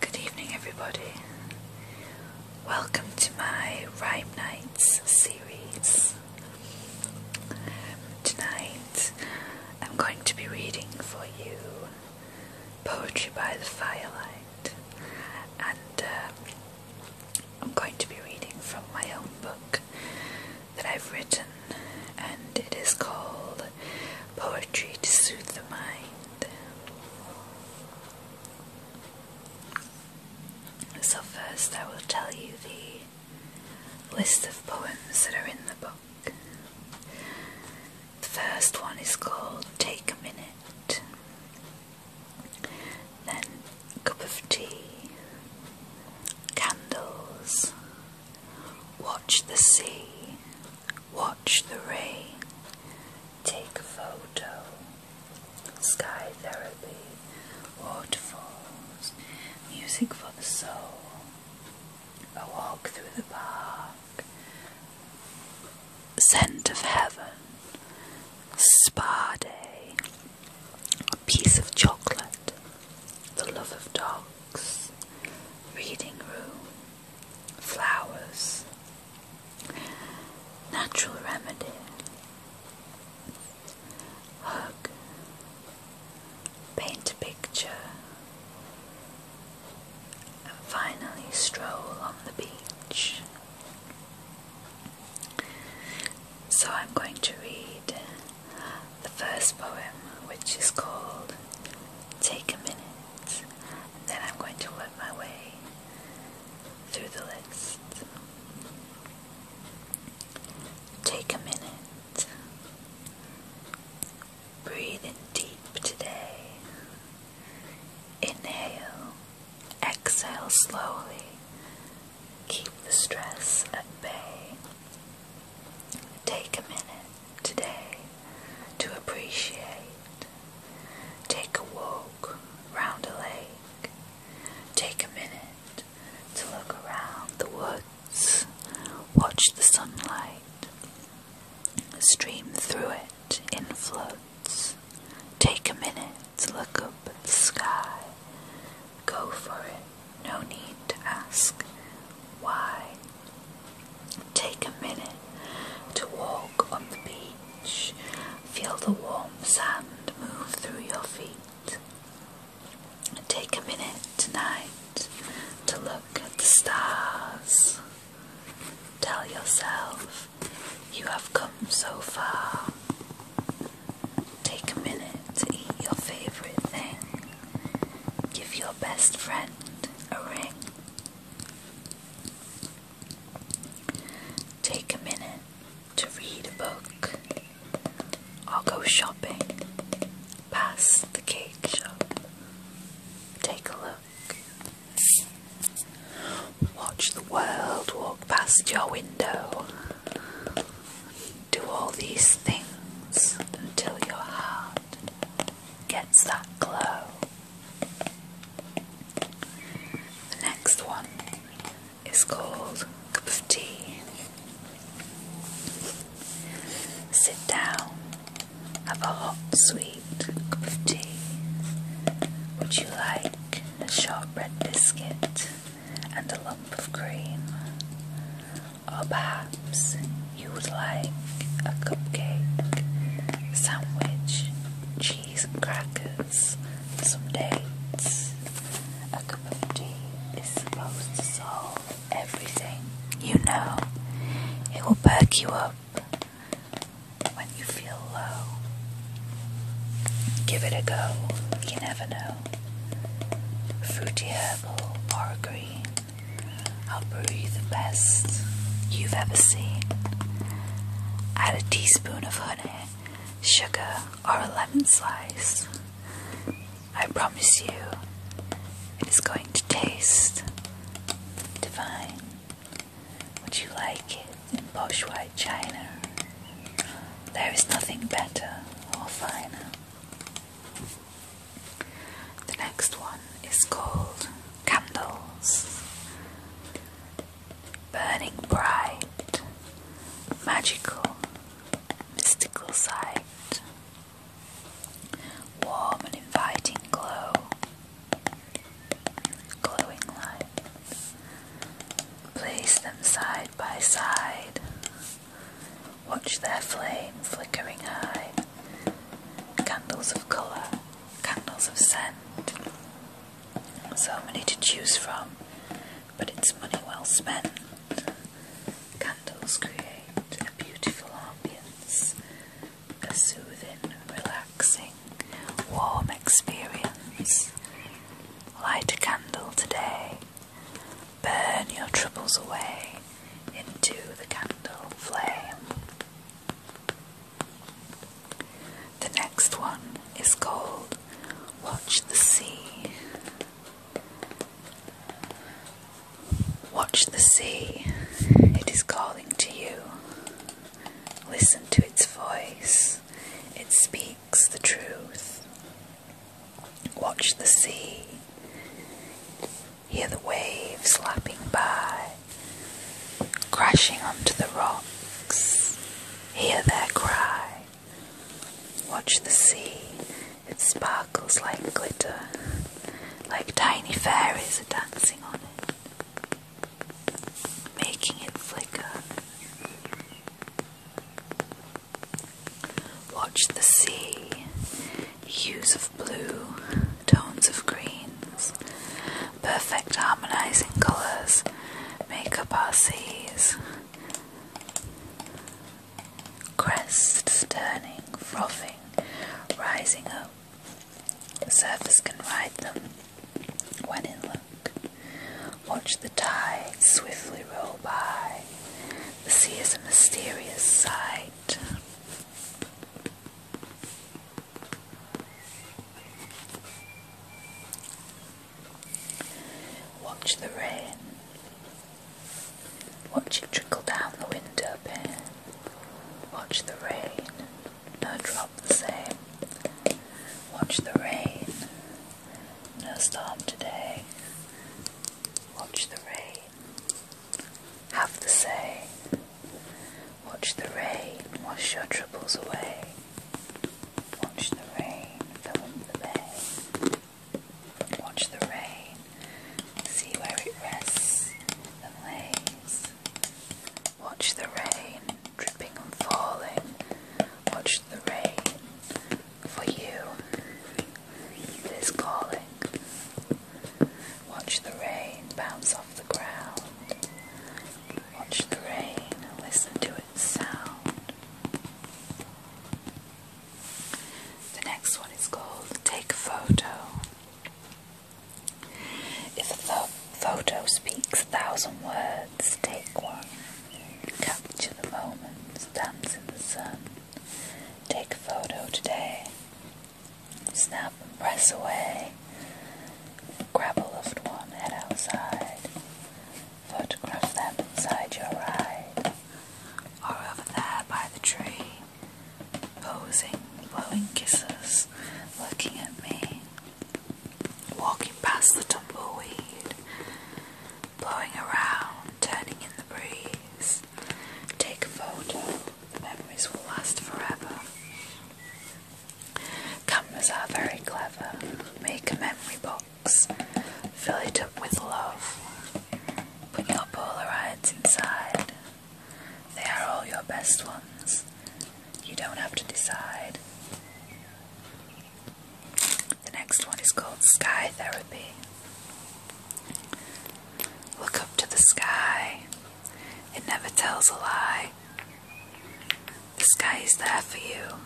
Good evening, everybody. Welcome to my Rhyme Nights series. Um, tonight I'm going to be reading for you Poetry by the Firelight, and um, I'm going to be reading from my own book that I've written, and it is called Poetry to Soothe the Mind. So, first, I will tell you the list of poems that are in the book. The first one is called Take a Minute, then Cup of Tea, Candles, Watch the sea, watch the rain, take a photo, sky therapy, waterfalls, music for the soul, a walk through the park, scent of heaven, spa day, a piece of chocolate, the love of dogs, reading room, flowers, natural remedy, hug, paint a picture, and finally stroll on the beach. So I'm going to read the first poem, which is called Take a Minute, then I'm going to work my way through the list. Take a minute. Breathe in deep today. Inhale, exhale slowly keep the stress at bay. Take a minute today to appreciate. Take a walk around a lake. Take a minute to look around the woods. Watch the sunlight stream through it in floods. Take a minute to look up at the sky Go for it. No need to ask why. Take a minute to walk on the beach. Feel the warm sand move through your feet. Take a minute tonight to look at the stars. Tell yourself you have come so far. Take a minute to eat your favorite thing. Give your best friend a ring. Take a minute to read a book I'll go shopping Pass the cake shop. Take a look. Watch the world walk past your window. Do all these things until your heart gets that glow. The next one is called Cup of Tea. Sit down, have a hot, sweet cup of tea. Would you like a shortbread biscuit? and a lump of cream. Or perhaps you would like a cupcake, sandwich, cheese and crackers, some dates. A cup of tea is supposed to solve everything, you know. It will perk you up when you feel low. Give it a go, you never know fruity herbal or green. I'll brew you the best you've ever seen. Add a teaspoon of honey, sugar, or a lemon slice. I promise you, it is going to taste divine. Would you like it in posh white china there is nothing better or finer. The next one is called Candles. Burning bright, magical, mystical sight, warm and inviting glow, glowing light. Place them side by side, Watch their flame flickering high. Candles of colour, candles of scent. So many to choose from, but it's money well spent. Candles create a beautiful ambience, a soothing, relaxing, warm experience. Light a candle today Burn your troubles away into the candle flame. The next one is called Watch the Sea. Watch the sea, it is calling to you. Listen to its voice, it speaks the truth. Watch the sea, hear the waves slapping by, crashing onto the rocks, hear their cry. Watch the sea, it sparkles like glitter, like tiny fairies are dancing on it, making it flicker. Watch the sea, hues of blue, tones of greens, perfect harmonizing colours make up our seas. Crests turning, frothing, rising up. The surface can ride them when in luck. Watch the tide swiftly roll by. The sea is a mysterious sight. Watch the rain. Watch it trickle down the window pane. Watch the rain. No drop the same. Watch the rain. No storm today. Watch the rain. Have the say. Watch the rain. Wash your troubles away. Watch the rain. Fill up the bay. Watch the rain. See where it rests and lays. Watch the rain dripping and falling. Watch the rain for you it is calling watch the rain bounce off the ground watch the rain and listen to its sound the next one is called take a photo if a photo speaks a thousand words take one. Capture the moment, dance in the sun. Take a photo today. Snap and press away. Grab a loved one, head outside. Photograph them inside your ride. Or over there by the tree. Posing, blowing kisses, looking at me walking past the tumbleweed, blowing around, turning in the breeze. Take a photo, the memories will last forever. Cameras are very clever. Make a memory box, fill it up with love. Put your Polaroids inside. They are all your best ones. You don't have to decide. The next one is called Sky Therapy. Look up to the sky, it never tells a lie. The sky is there for you,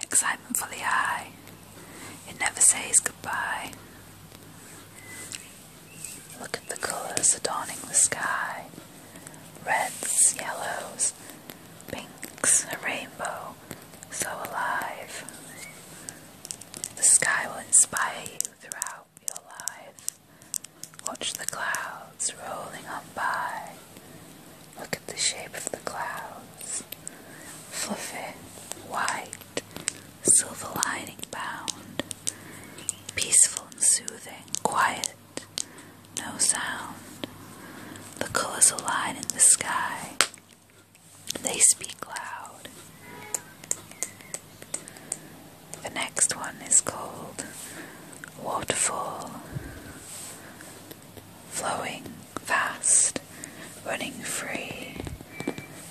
excitement for the eye, it never says goodbye. Look at the colours adorning the sky reds, yellows, colors. Pink's a rainbow, so alive. The sky will inspire you throughout your life. Watch the clouds rolling on by. Look at the shape of the clouds. Fluffy, white, silver lining bound. Peaceful and soothing, quiet no sound. The colors align in the sky, they speak loud. The next one is called Waterfall. Flowing fast, running free,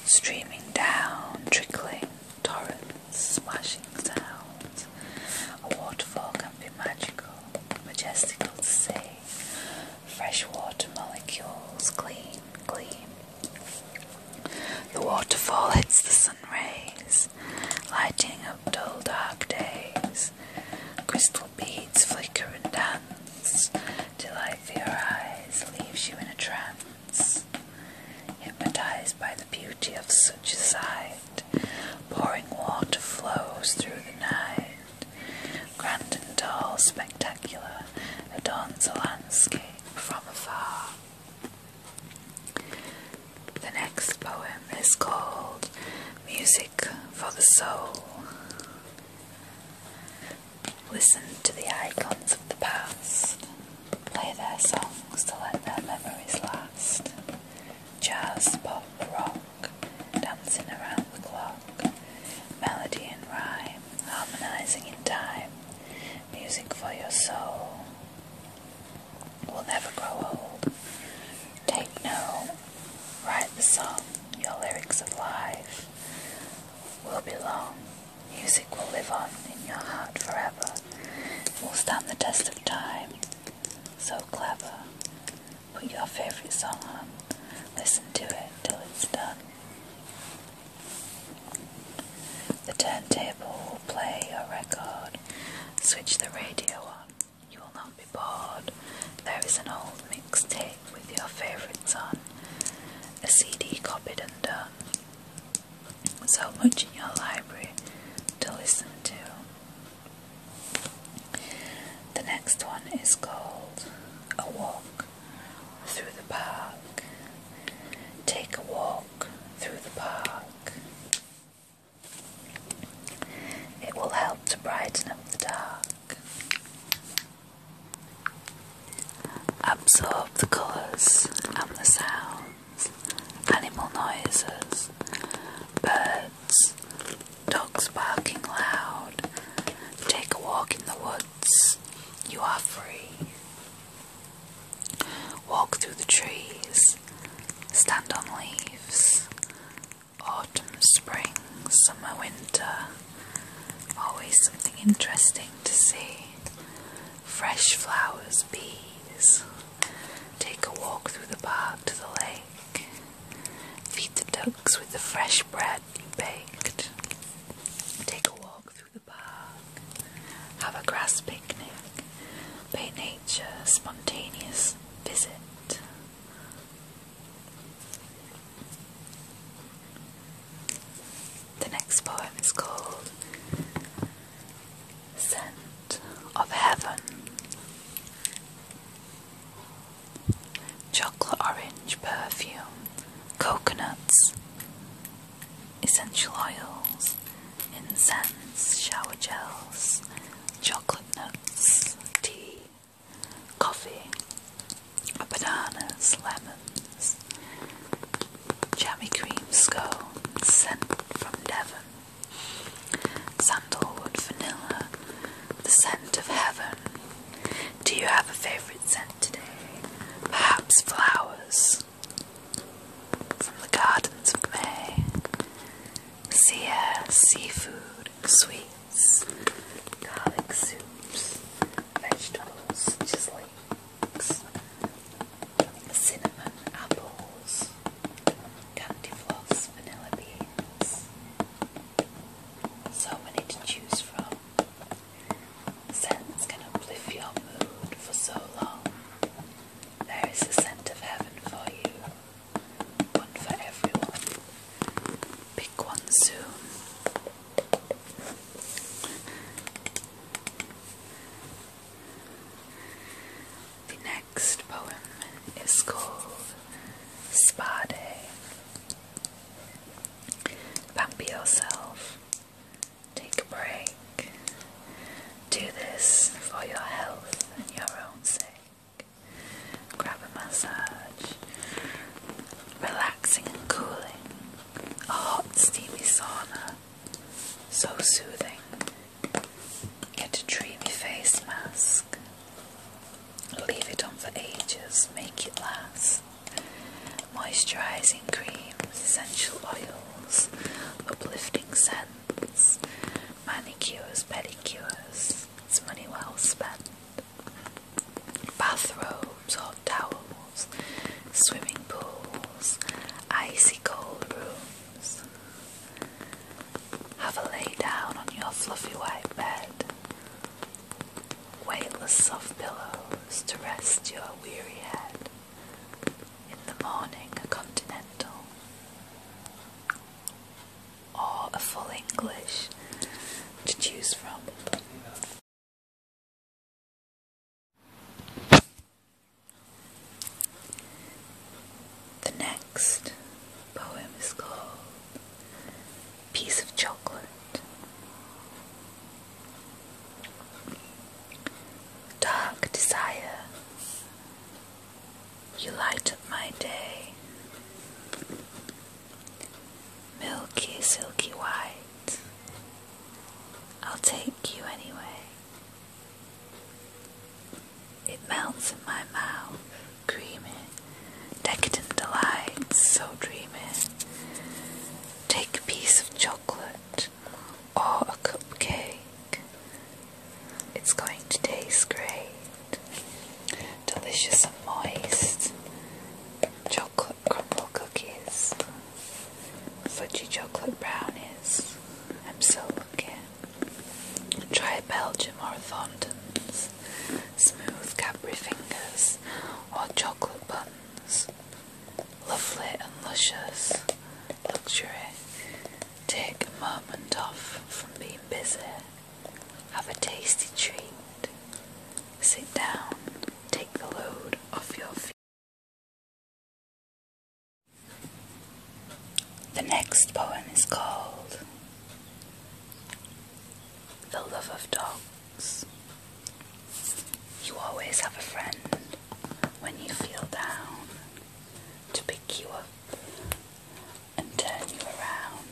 streaming down, trickling, torrents, splashing sounds. A waterfall can be magical, majestical to see. Fresh water molecules gleam, gleam. The waterfall hits the sun rays, lighting up dull dark days. Crystal beads flicker and dance, delight for your eyes, leaves you in a trance. Hypnotized by the beauty of such a sight. Pouring water flows through the night. Grand and tall, Spectacular adorns the landscape from afar. The next poem is called Music for the Soul. Listen to the icons of the past, play their songs to let their memories last. Jazz, pop, rock, dancing around the clock, melody and rhyme, harmonizing in time, music for your soul. Will never grow old. Take note, write the song, your lyrics of life will be long. Music will live on in your heart forever, will stand the test of time. So clever. Put your favorite song on. Listen to it till it's done. The turntable will play a record. Switch the radio on. You will not be bored. There is an old mixtape with your favourites on. A CD copied and done. So much in your library to listen to. The next one is called A Walk Through the Park. Take a walk through the park. It will help to brighten up the dark. Absorb the colours and the sounds, animal noises, birds dogs barking loud. Take a walk in the woods, you are free. Walk through the trees, stand on leaves. Autumn, spring, summer, winter. Always something interesting to see. Fresh flowers, bees. Take a walk through the park to the lake. Feed the ducks with the fresh bread you baked. Take a walk through the park. Have a grass picnic. Pay nature a spontaneous visit. The next poem is called scent of heaven. Chocolate orange perfume, coconuts, essential oils, incense, shower gels, chocolate nuts, tea, coffee, bananas, lemons, jammy cream scones sent from Devon. Sandalwood vanilla, the scent of heaven. Do you have a favourite scent today? Perhaps flowers from the gardens of May. Sea air, seafood, sweets, garlic soups, vegetables such cinnamon, apples, Candy floss, vanilla beans. So many to choose from. Scents can uplift your mood for so long. There is a scent of heaven for you, one for everyone. Pick one soon. The next poem is called Spa Day. Pamper yourself, take a break, do this for your health and your own sake. Grab a massage, relaxing and cooling, a hot steamy sauna, so soothing. Get a dreamy face mask. Leave it on for ages, make it last. Moisturising creams, essential oils, uplifting scents, manicures, pedicures. It's money well spent. Bathrobes, hot towels, swimming pools, icy cold rooms. Have a lay down on your fluffy white bed. Weightless soft pillows to rest your weary head. In the morning, a continental or a full English to choose from. The next poem is called Piece of Chocolate. Dark desire, you light up my day. Milky, silky white, I'll take you anyway. It melts in my mouth, creamy, decadent delight, so dreamy. Take a piece of chocolate or a cupcake. It's going to taste great. Delicious and moist. Chocolate crumble cookies. Fudgy chocolate brownies. I'm so lucky. Try Belgium or Thornton's, smooth Cadbury fingers or chocolate buns. Lovely and luscious luxury. Take a moment off from being busy. Have a tasty treat. Sit down. Take the load off your feet. The next poem is called The Love of Dogs. You always have a friend when you feel down to pick you up and turn you around.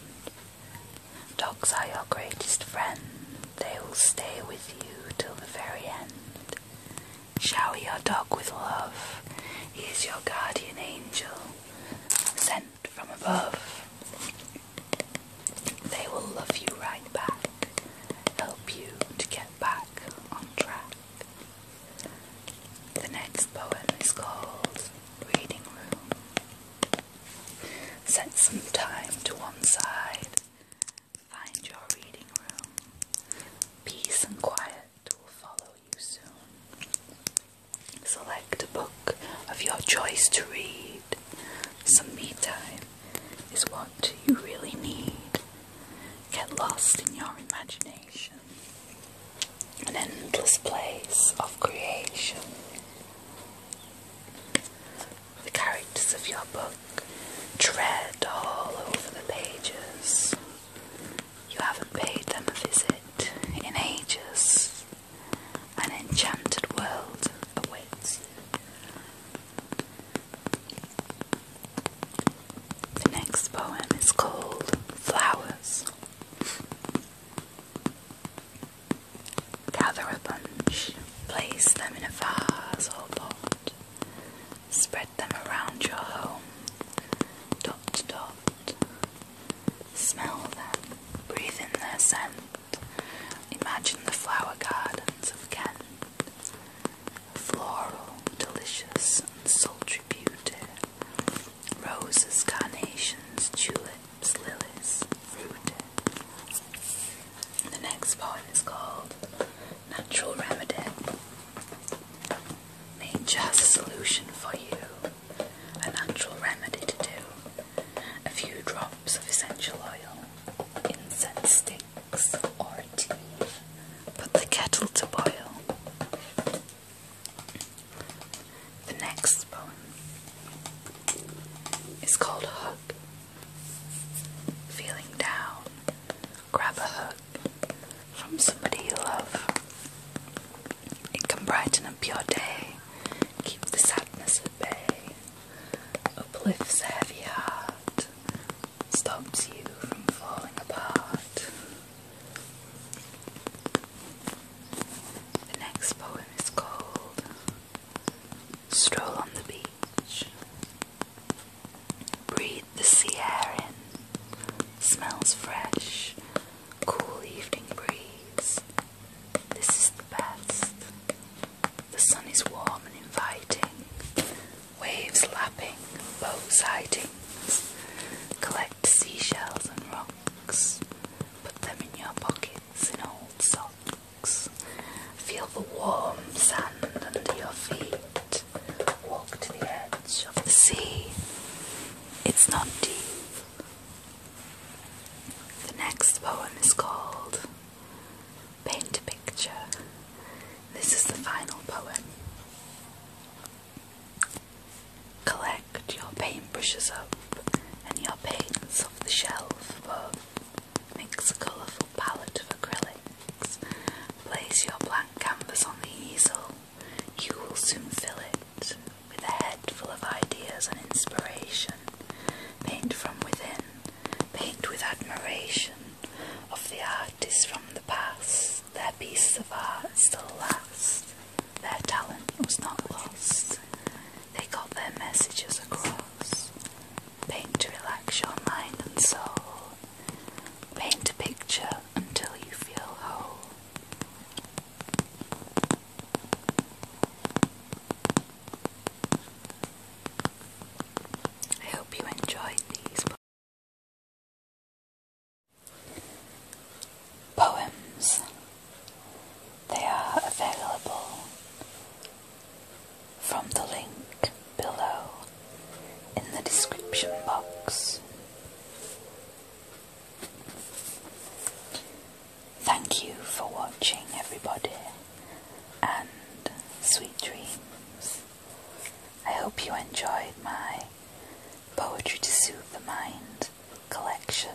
Dogs are your greatest friend, they will stay with you till the very end. Shower your dog with love. He's your guardian angel, sent from above. They will love you right back, help you to get back on track. The next poem is called Reading Room. Set some time to one side Find your reading room. Peace and quiet will follow you soon. Select a book of your choice to read. Some me time is what you really need. Get lost in your imagination. An endless place of creation. The characters of your book Tread all over the pages. You haven't paid them a visit in ages. An enchanted world awaits you. The next poem is called Flowers. Gather a bunch, place them in a vase or pot. Spread them around your home, dot to dot. Smell them, breathe in their scent. Imagine the flower gardens of Kent. Floral, delicious, sultry beauty. Roses, carnations, tulips, lilies, The next poem is called natural remedy, nature has a solution for you, a natural remedy to do. A few drops of essential oil, incense sticks, or tea. Put the kettle to boil. The next poem is called "Hook." Feeling down, grab a hook from somebody you love. It can brighten up your day, keep the sadness at bay, uplifts a heavy heart, stops you from falling apart. The next poem is called Stroll on the Beach. Breathe the sea air in. Smells fresh. Cool evening breeze. This is the best. The sun is warm and inviting. Waves lapping, boats sightings. Collect seashells and rocks. Put them in your pockets in old socks. Feel the warm sand under your feet and walk to the edge of the sea. It's not deep. The next poem is called Paint a Picture. This is the final poem. Collect your paintbrushes up and your paints off the shelf above Mix a colourful palette of acrylics. Place your blank canvas on the easel. You will soon fill it with a head full of ideas and inspiration. Paint from within. Paint with admiration of the artists from the past. Their pieces of art still last. Their talent was not lost. They got their messages across. Paint to relax your mind and soul. Paint a picture until you feel whole. I hope you enjoyed these poems. They are available from the link below in the description box. Thank you for watching, everybody, and sweet dreams. I hope you enjoyed my Poetry to Soothe the Mind collection.